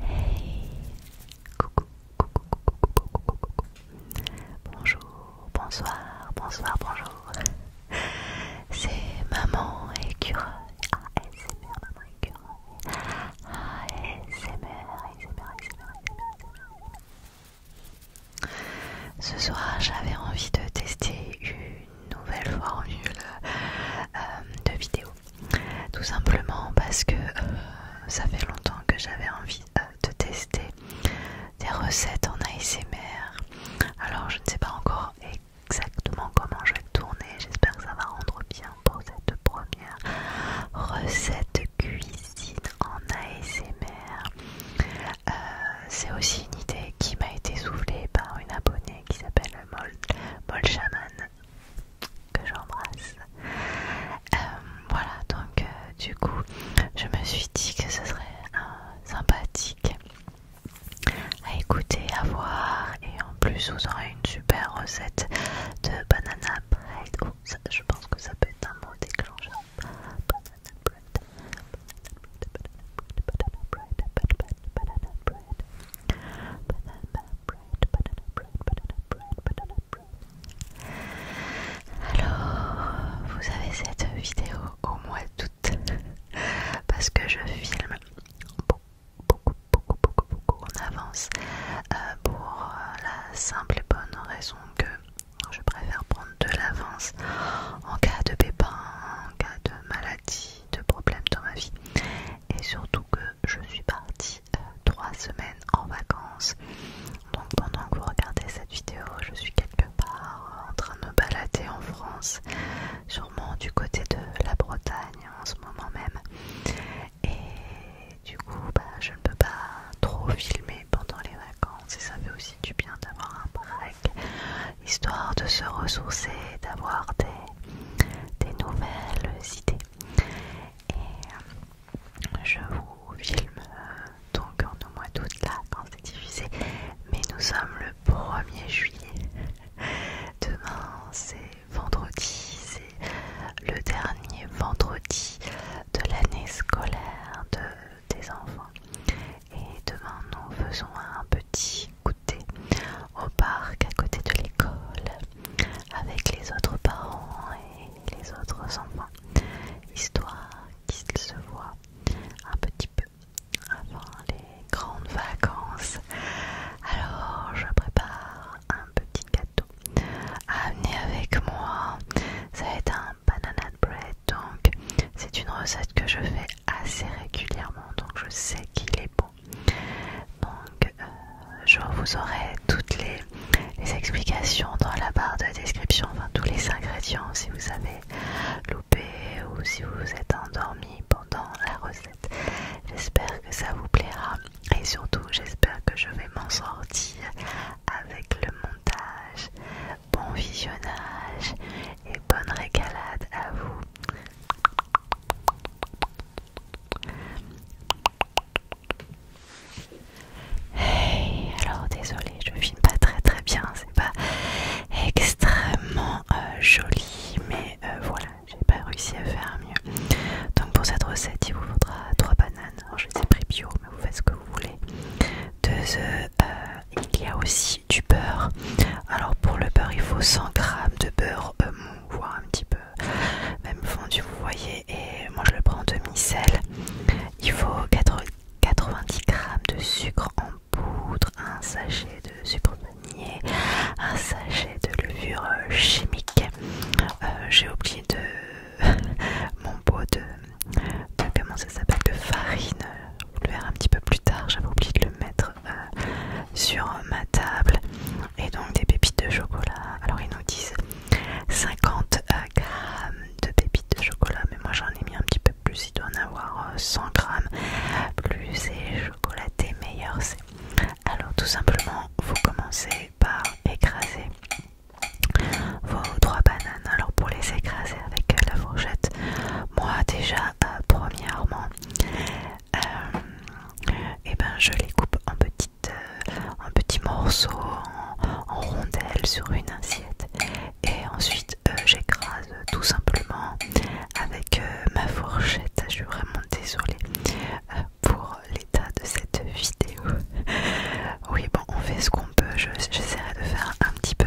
Hey coucou, Bonjour, bonsoir, bonsoir, bonjour C'est Maman Écureuil ASMR, Maman Écureuil ASMR, ASMR, Ce soir j'avais envie de tester une nouvelle formule euh, de vidéo tout simplement parce que euh, ça fait longtemps que j'avais envie euh, de tester des recettes en ASMR. Alors je ne sais pas encore exactement comment je vais tourner. J'espère que ça va rendre bien pour cette première recette cuisine en ASMR. Euh, c'est aussi une idée qui m'a été soufflée par une abonnée qui s'appelle Mol, Mol Shaman que j'embrasse. Euh, voilà, donc euh, du coup, je me suis dit que ce serait sympathique à écouter, à voir, et en plus, vous aurez une super recette de banana bread. Oh, je pense que ça peut être un mot déclencheur. banana bread, banana bread, bread, banana bread, banana bread, banana bread, banana bread, banana bread. Alors, vous avez cette vidéo au mois d'août parce que je filme beaucoup, beaucoup, beaucoup, beaucoup en avance euh, pour la simple et bonne raison que je préfère prendre de l'avance en cas de pépin, en cas de maladie, de problème dans ma vie et surtout que je suis partie euh, trois semaines en vacances. Donc pendant que vous regardez cette vidéo, je suis quelque part en train de me balader en France, sûrement du côté de la Bretagne en ce moment même. Et du coup, bah, je ne peux pas trop filmer pendant les vacances et ça fait aussi du bien d'avoir un break histoire de se ressourcer, d'avoir des, nouvelles idées. Et euh, je vous filme euh, donc en au mois d'août là quand c'est diffusé, mais nous sommes le 1er juillet. Demain c'est vendredi, c'est le dernier vendredi de l'année scolaire de, des enfants. Et demain nous faisons un petit goûter au parc à côté de l'école avec les autres parents et les autres enfants, histoire qu'ils se voient un petit peu avant les grandes vacances. Alors je prépare un petit gâteau à amener avec moi. Ça va être un banana bread, donc c'est une recette que je fais assez régulièrement, donc je sais qu'il est bon. Donc, euh, je vous aurai toutes les, explications dans la barre de description, enfin tous les ingrédients si vous avez loupé ou si vous vous êtes endormi pendant la recette. J'espère que ça vous plaira et surtout j'espère que je vais m'en sortir avec le montage. Bon visionnage et bonne régalade à vous. Hey, alors désolé, je filme pas très très bien, c'est pas extrêmement euh, joli, mais euh, voilà, j'ai pas réussi à faire mieux. Donc pour cette recette, il vous faudra 3 bananes. je les ai pris bio, mais vous faites ce que vous voulez. Deux œufs. Euh, il y a aussi du beurre. Alors pour le beurre, il faut 100 g de beurre euh, voire un petit peu même fondu, vous voyez. Et moi je le prends en demi-sel. Il faut 90 g de sucre en poudre, un sachet de sucre vanillé, un sachet de levure euh, chimique. Euh, j'ai oublié de mon pot de, de comment ça s'appelle de farine vous le verre un petit peu plus tard, j'avais oublié de le mettre euh, sur ma table. Et donc des pépites de chocolat. Alors ils nous disent 50 euh, grammes de pépites de chocolat, mais moi j'en ai mis un petit peu plus, il doit en avoir 100 euh, grammes. Plus c'est chocolaté, meilleur c'est. Alors tout simplement, vous commencez par écraser vos trois bananes alors pour les écraser avec euh, la fourchette moi déjà euh, premièrement et euh, eh ben je les coupe en petites en petits morceaux en, rondelles sur une assiette et ensuite j'écrase tout simplement avec ma fourchette je suis vraiment désolée pour l'état de cette vidéo oui bon on fait ce qu'on peut j'essaierai de faire un petit peu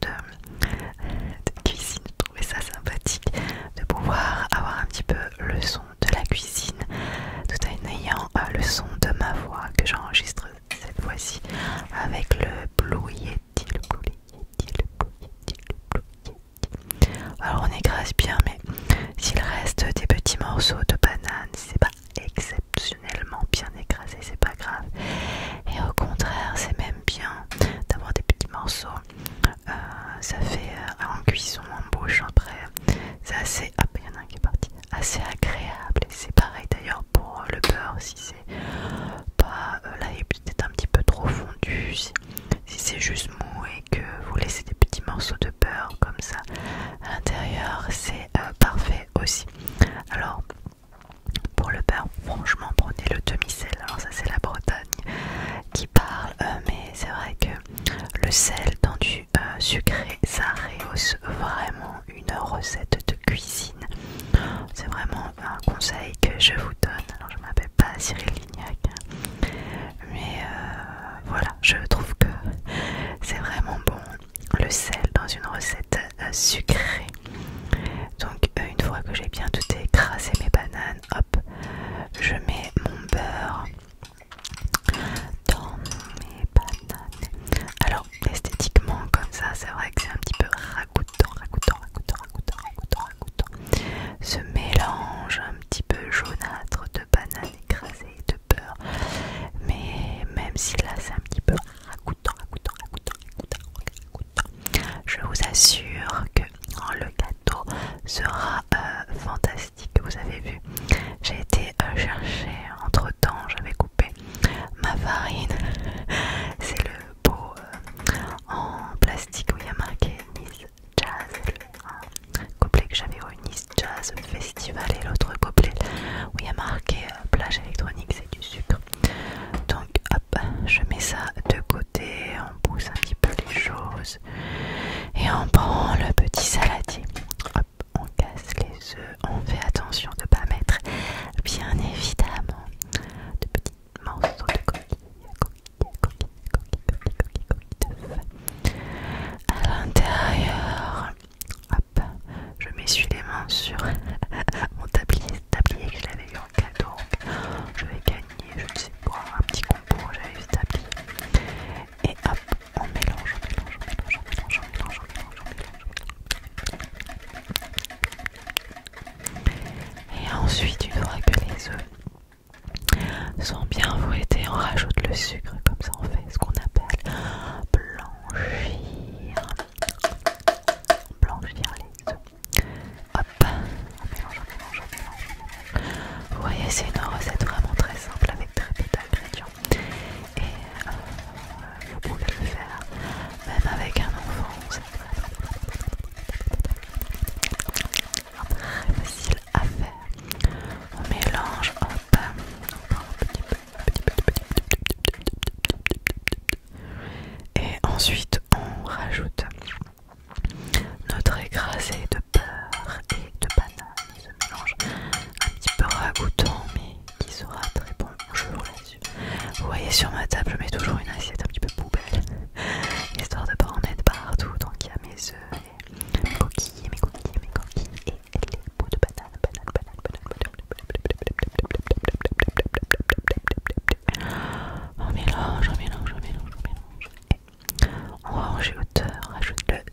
de, cuisine. Je trouvais ça sympathique de pouvoir avoir un petit peu le son de la cuisine tout en ayant euh, le son de ma voix que j'enregistre cette fois-ci avec le Blue Alors on écrase bien, mais s'il reste des petits morceaux de banane, c'est pas exceptionnellement bien écrasé, c'est pas grave. Et au contraire, c'est même bien d'avoir des petits morceaux. Euh, ça fait euh, en cuisson, en bouche, après. C'est assez. qui Assez agréable. c'est pareil d'ailleurs pour euh, le beurre. Si c'est pas. là, un petit peu trop fondu. Si, c'est juste mou et que vous laissez des petits morceaux de beurre comme ça à l'intérieur, c'est parfait aussi. Alors. Pour le pain, franchement, prenez le demi-sel. Alors, ça, c'est la Bretagne qui parle, euh, mais c'est vrai que le sel dans du euh, sucré, ça rehausse vraiment une recette de cuisine. C'est vraiment un conseil que je vous donne. Alors, je m'appelle pas Cyril Lignac, mais euh, voilà, je trouve que c'est vraiment bon. Le sel dans une recette sucré. Donc euh, une fois que j'ai bien tout écrasé mes bananes, hop, je mets mon beurre dans mes bananes. Alors esthétiquement comme ça, c'est vrai que c'est un petit peu ragoûtant, ragoûtant, ragoûtant, ragoûtant, ragoûtant, ragoûtant. Ce mélange un petit peu jaunâtre de bananes écrasées et de beurre. Mais même si là c'est un petit peu je vous assure que oh, le gâteau sera euh, fantastique. Vous avez vu, j'ai été euh, chercher entre temps, j'avais coupé ma farine. C'est le pot euh, en plastique où il y a marqué Nice Jazz. le que j'avais au Nice Jazz Festival et l'autre couplet où il y a marqué plage électronique, c'est du sucre. Donc hop, je mets ça de côté, on pousse un petit peu les choses et on prend le petit saladier. Hop, on casse les œufs, on fait attention de ne pas mettre bien évidemment de petits morceaux de coquille, à l'intérieur hop, je m'essuie les mains sur mon tablier, tablier que je l'avais eu en cadeau. Je vais gagner, je ne sais pas, un petit combo, j'avais ce tablier. Et hop, on mélange, on mélange, on mélange, on mélange, on mélange, on mélange, on mélange. Et ensuite, une fois que les œufs sont bien fouettés, on rajoute le sucre, comme ça on fait ce qu'on appelle blanchir blanchir les Hop, on mélange, on mélange, on mélange. Vous voyez, c'est une recette vraiment très simple avec très peu d'ingrédients. Et vous pouvez le faire même avec un enfant. C'est très facile à faire. On mélange, hop, un petit et ensuite, on rajoute notre écrasé de beurre et de banane. mélange un petit peu ragoûtant, mais qui sera très bon. vous Vous voyez, sur ma table, je mets toujours une assiette un petit peu poubelle, histoire de pas en mettre partout. Donc, il y a mes œufs, mes coquilles, mes coquilles, mes coquilles les bouts de banane, On mélange, on mélange, on mélange, on mélange. Et on le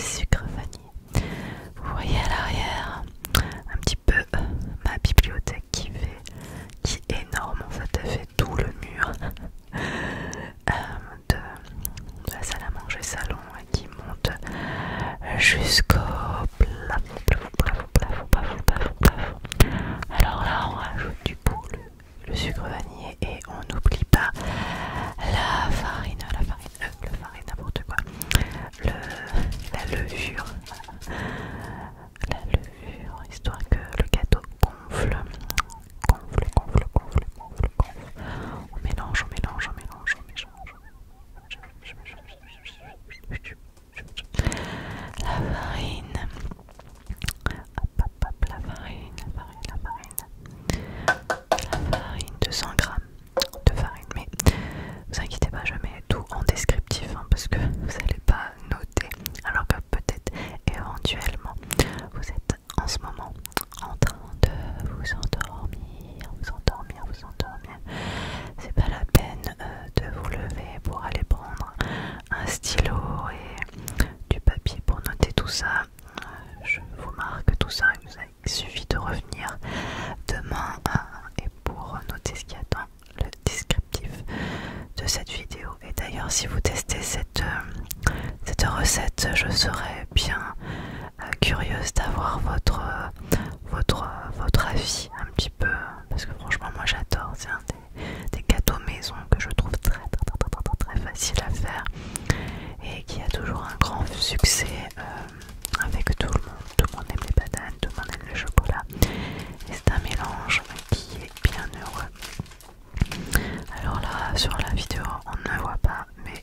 sucre vanille. Vous voyez à l'arrière un petit peu euh, euh, ma bibliothèque qui fait, qui est énorme Ça fait, tout le mur euh, de la salle à manger salon qui monte euh, jusqu'au plafond, plafond, plafond, plafond, plafond, plafond, Alors là, on rajoute du coup le, sucre vanillé et on n'oublie pas la farine, la farine, euh, le, farine, n'importe quoi, le, la levure, la levure, histoire que le gâteau gonfle, gonfle, gonfle, gonfle, gonfle, gonfle. On mélange, on mélange, on mélange, on mélange. La farine. la farine, la farine, la farine. La farine, 200 grammes de farine. Mais vous inquiétez pas, je mets tout en descriptif hein, parce que vous n'allez pas noter. Alors que peut-être éventuellement vous êtes en ce moment en train de vous endormir, vous endormir, vous endormir. C'est pas la peine euh, de vous lever pour aller prendre un stylo et du papier pour noter tout ça. Euh, je vous marque tout ça, il suffit de revenir demain et pour noter ce qui attend le descriptif de cette vidéo. Et d'ailleurs, si vous testez cette, euh, cette recette, je serais bien euh, curieuse d'avoir votre, euh, votre, euh, votre avis un petit peu. Parce que franchement, moi j'adore. C'est un des, gâteaux maison que je trouve très, très, très, très, très, facile à faire et qui a toujours un grand succès avec tout le monde. Tout le monde aime les bananes, tout le monde aime le chocolat. Et c'est un mélange qui est bien heureux. Alors là, sur la vidéo, on ne voit pas, mais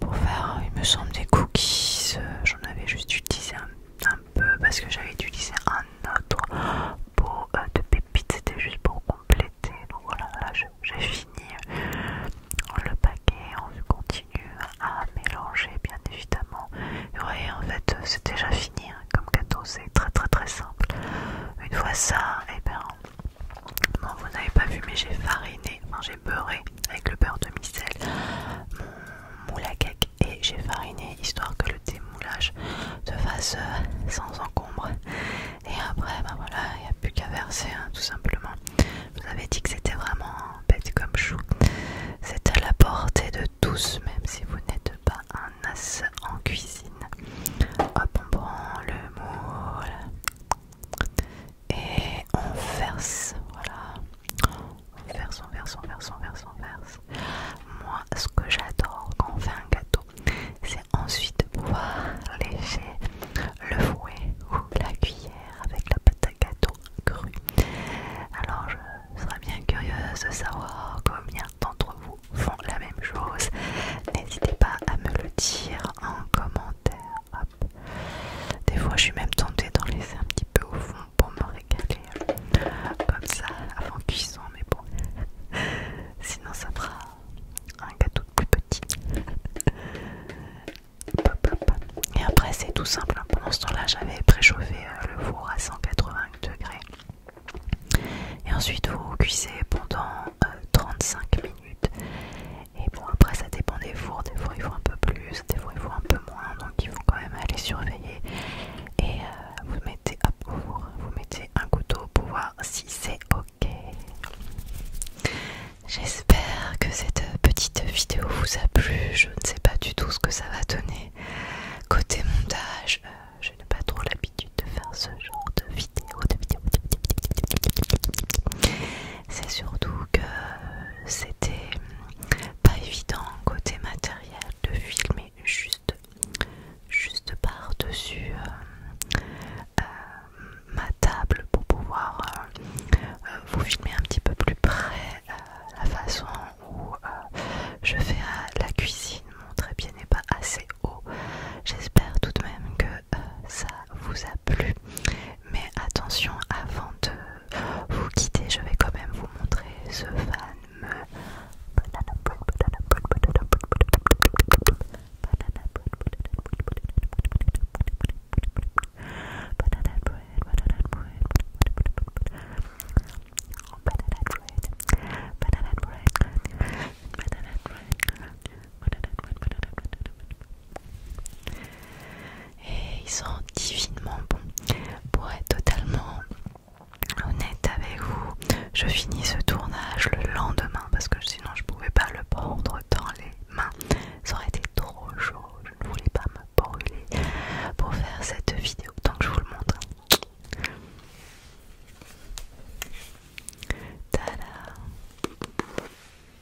pour faire, il me semble, des cookies. Euh, j'en avais juste utilisé un, peu parce que j'avais utilisé un autre pot euh, de pépites. C'était juste pour compléter. Donc voilà, là j'ai fini euh, le paquet. On continue à mélanger, bien évidemment. Vous voyez, en fait, c'est déjà fini hein. comme gâteau. C'est très très très simple. Une fois ça, et eh ben, vous n'avez pas vu, mais j'ai fariné j'ai beurré avec le beurre de micelle mon moule à cake et j'ai fariné histoire que le démoulage se fasse euh, sans encombre. Et après, ben voilà, il n'y a plus qu'à verser hein, tout simplement. Je vous avais dit que c'était vraiment bête comme chou. C'est à la portée de tous, même si vous n'êtes pas un as en cuisine. Hop, on prend le moule et on verse, voilà, on verse, on verse, on verse, on verse, on verse. Moi, ce que j'adore quand on fait un gâteau, c'est ensuite de pouvoir lécher le fouet ou la cuillère avec la pâte à gâteau crue. Alors, je serais bien curieuse de savoir combien d'entre vous font la même chose. N'hésitez pas à me le dire en commentaire. Des fois, je suis même tentée d'en laisser un petit peu au fond pour me régaler euh, comme ça avant cuisson, mais bon, sinon ça fera un gâteau de plus petit. Et après, c'est tout simple. Hein. Pendant ce temps-là, j'avais préchauffé euh, le four à 180 degrés. Et ensuite, vous cuisez pendant 35 euh, minutes. Et bon, après, ça dépend des fours. Des fois, il faut un peu plus, des fois, il faut un peu moins. Donc, il faut quand même aller surveiller. Et euh, vous mettez vous mettez un couteau pour voir si c'est ok. J'espère que cette petite vidéo vous a plu. Je ne sais pas du tout ce que ça va donner. Côté montage, euh, je n'ai pas trop l'habitude de faire ce genre de vidéos, De de vidéo. C'est surtout que c'était pas évident côté matériel de filmer juste, juste par-dessus euh, euh, ma table pour pouvoir euh, vous filmer un petit peu plus près la façon où je fais la cuisine. Mon trépied n'est pas assez haut. J'espère tout de même que ça vous a plu. Mais attention, avant de vous quitter, je vais quand même vous montrer ce fan et ils sont divinement bons. Pour être totalement honnête avec vous, je finis ce tournage le lendemain parce que sinon je pouvais pas le prendre dans les mains. Ça aurait été trop chaud. Je ne voulais pas me brûler pour faire cette vidéo. Donc je vous le montre. Tada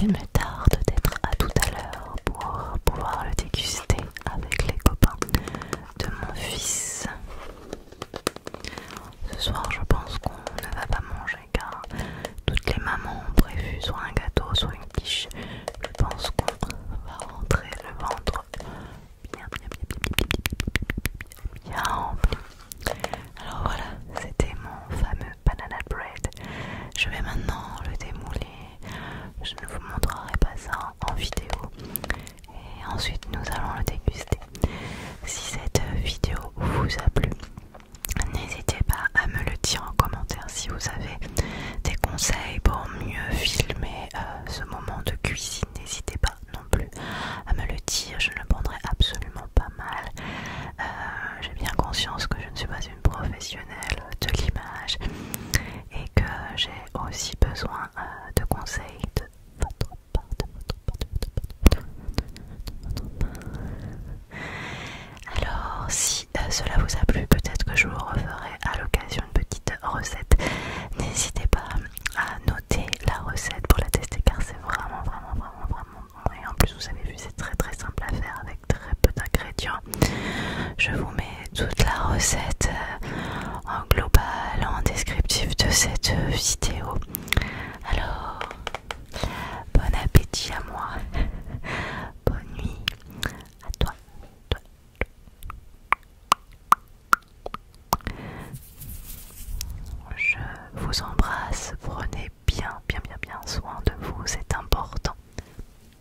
Il me tarde d'être à tout à l'heure pour pouvoir le déguster avec les copains de mon fils. Ce soir, je pense qu'on ne va pas manger car toutes les mamans ont prévu soit un gâteau, soit une quiche. Je pense qu'on va rentrer le ventre bien, Alors voilà, c'était mon fameux banana bread. Je vais maintenant le démouler je ne vous montrerai pas ça en vidéo. Et ensuite, nous allons le déguster. Si cette vidéo vous a plu, n'hésitez pas à me le dire en commentaire si vous avez des conseils pour mieux filmer euh, ce moment de cuisine. N'hésitez pas non plus à me le dire, je ne le prendrai absolument pas mal. Euh, j'ai bien conscience que je ne suis pas une professionnelle de l'image et que j'ai aussi besoin euh, de conseils de votre part, Alors, si euh, cela vous a plu, peut-être que je vous referai à l'occasion une petite recette. N'hésitez pas à noter la recette pour la tester car c'est vraiment, vraiment, vraiment, vraiment bon. Et en plus, vous avez vu, c'est très très simple à faire avec très peu d'ingrédients. Je vous mets toute la recette euh, en global, en descriptif de cette vidéo. Alors, bon appétit à moi, bonne nuit à toi. Je vous embrasse, prenez bien, bien, bien, bien soin de vous, c'est important.